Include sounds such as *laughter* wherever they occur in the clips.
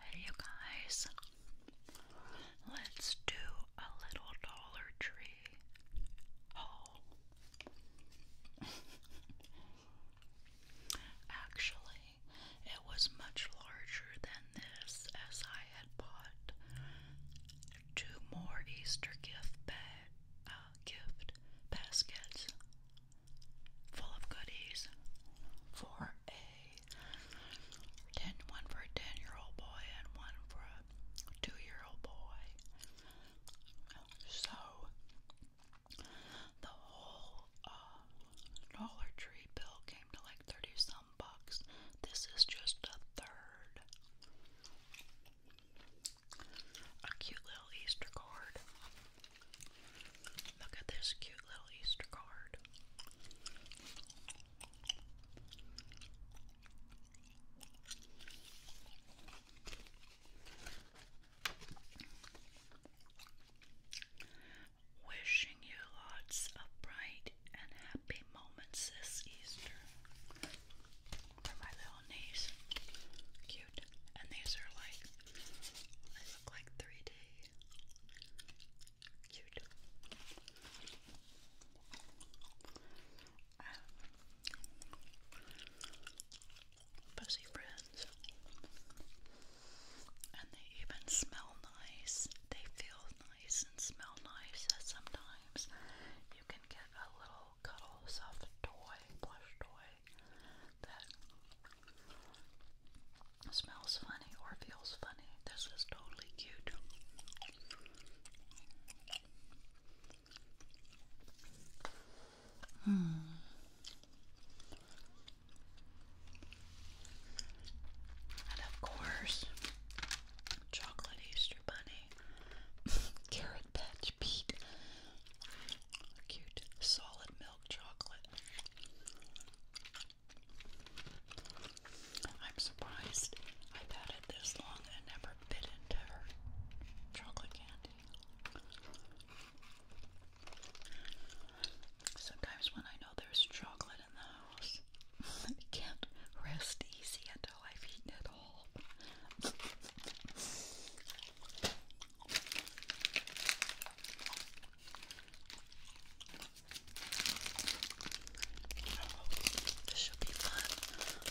Hey, you guys, let's do a little Dollar Tree haul. Actually, it was much larger than this as I had bought two more Easter gift bag, uh, full of goodies for a 10, for a 10 year old boy and one for a 2 year old boy. So, the whole uh, Dollar Tree bill came to like 30 some bucks. This is just a third a cute little Easter card. Look at this cute little Easter card. Wishing you lots of bright and happy moments this Easter for my little niece. Cute. And these are like, they look like 3D. Cute. Um, Fuzzy friends. And they even smell nice. They feel nice and smell nice. Sometimes you can get a little cuddle soft toy, plush toy that smells funny or feels funny. This is totally cute. Hmm. And of course, chocolate Easter bunny. *laughs* Carrot patch beet. Cute. Solid milk chocolate. I'm surprised I've had it this long and never bit into her chocolate candy. Sometimes when I know there's chocolate in the house, *laughs* I can't rest easy at I've it all. this should be fun.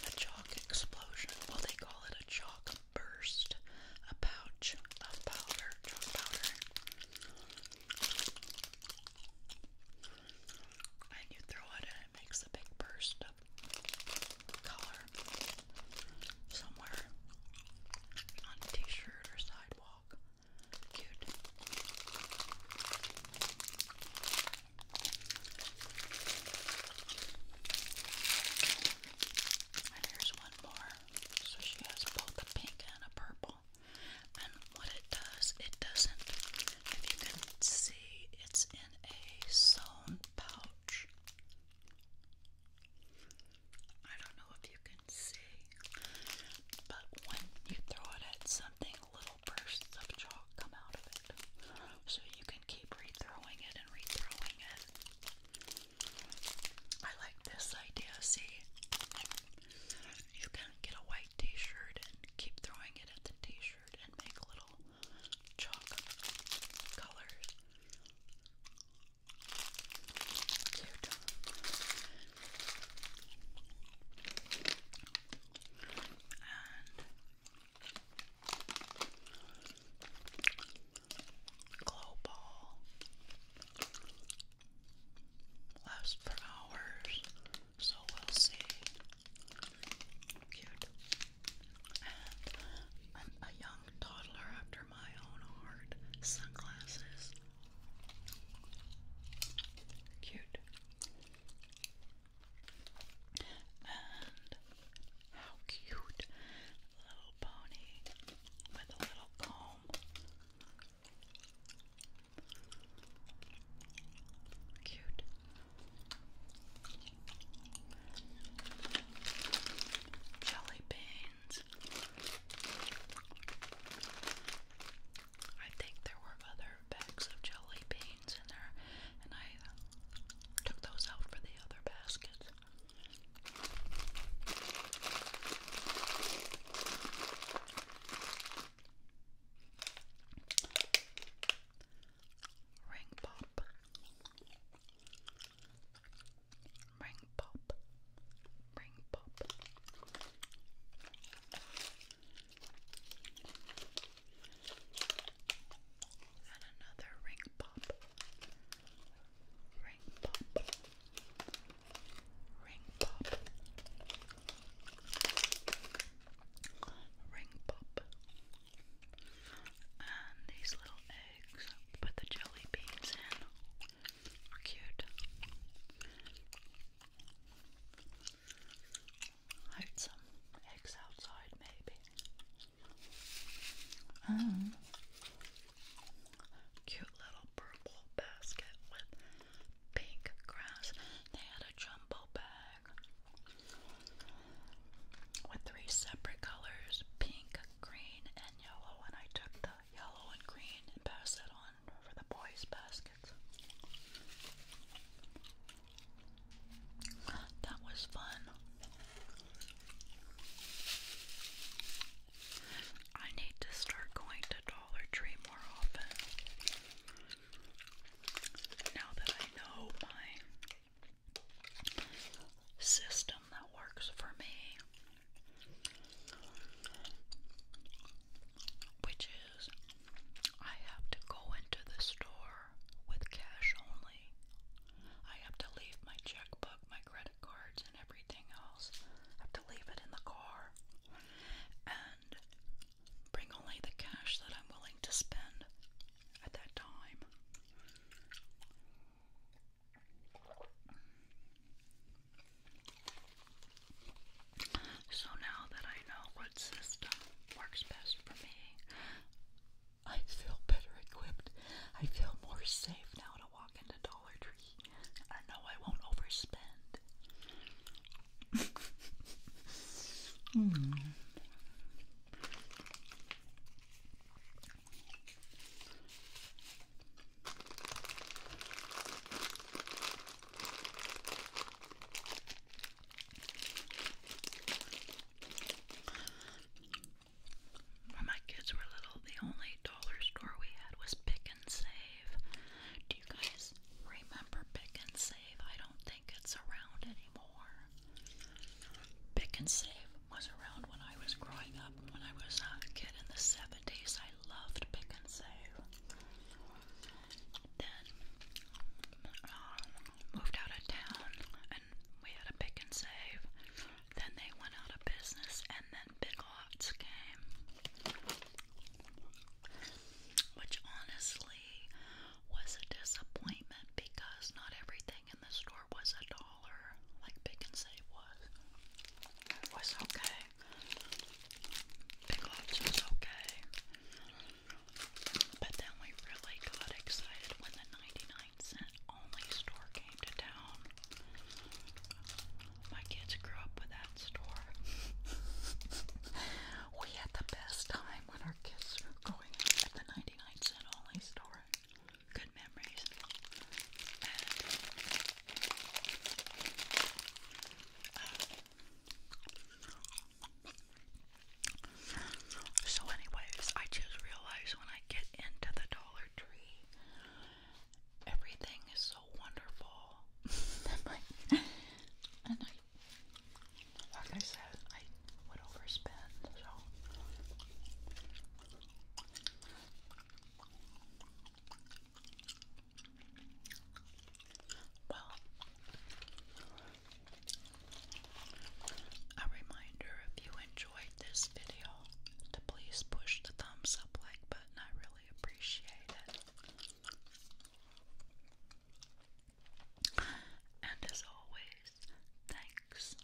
A chalk explosion. Well, they call it a chalk burst. A pouch of powder, chalk powder. And you throw it and it makes a big burst of color somewhere on a t shirt or sidewalk. Cute. And here's one more. So she has both a pink and a purple and what it does, it doesn't. If you can see, it's in a sewn pouch. I don't know if you can see, but when you throw it at something, little bursts of chalk come out of it. So you can keep rethrowing it and rethrowing it. I like this idea, see? i you can get a white t shirt and keep throwing it at the t shirt and make little chalk colors. And glow ball lasts for hours so we'll see. Cute. And a young toddler after my own heart. Sunglasses. Cute. And how cute. Little pony with a little comb. Cute. Jelly beans. I think there were other bags of jelly beans in there, and I took those out for the other baskets. Ring pop. Ring pop. Ring pop. And another ring pop. Ring pop. Ring Ring pop. Ring pop. And these little eggs. Put the jelly beans in. Cute. Hide some eggs outside, maybe. Um, cute little purple basket with pink grass. They had a jumbo bag with three separate colors pink, green, and yellow. And I took the yellow and green and passed it on for the boys' baskets. That was fun. I need to start going to Dollar Tree more often. Now that I know my system that works for me, which is I have to go into the store with cash only. I have to leave my checkbook, my credit cards, and everything else. I have to leave it in the car and bring only the cash that I'm willing to spend at that time. So now that I know what system works best for me, I feel better equipped. I feel more safe now to walk into Dollar Tree. I know I won't overspend. Hmm. When my kids were little, the only dollar store we had was Pick and Save. Do you guys remember Pick and Save? I don't think it's around anymore. Pick and Save was around when I was growing up. When I was a kid in the 70s, I loved Pick and Save. Then, um, moved out of town and we had a pick and save. Then they went out of business, and then Big Lots came. Which honestly was a disappointment because not everything in the store was a dollar like Pick and Save was. It was okay. Big Lots was okay. But then we really got excited when the 99 cent only store came to town. My kids grew up with that store. *laughs* we had the best time when our kids were going out at the 99 cent only store. Good memories. And, uh, so, anyways, I just realized when I get into the Dollar Tree, everything is so wonderful. *laughs* and like I said, I would overspend. So. A reminder if you enjoyed this video to please push the thumbs up like button. I really appreciate it. And as always, thanks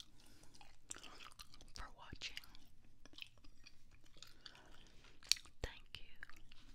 for watching. Thank you.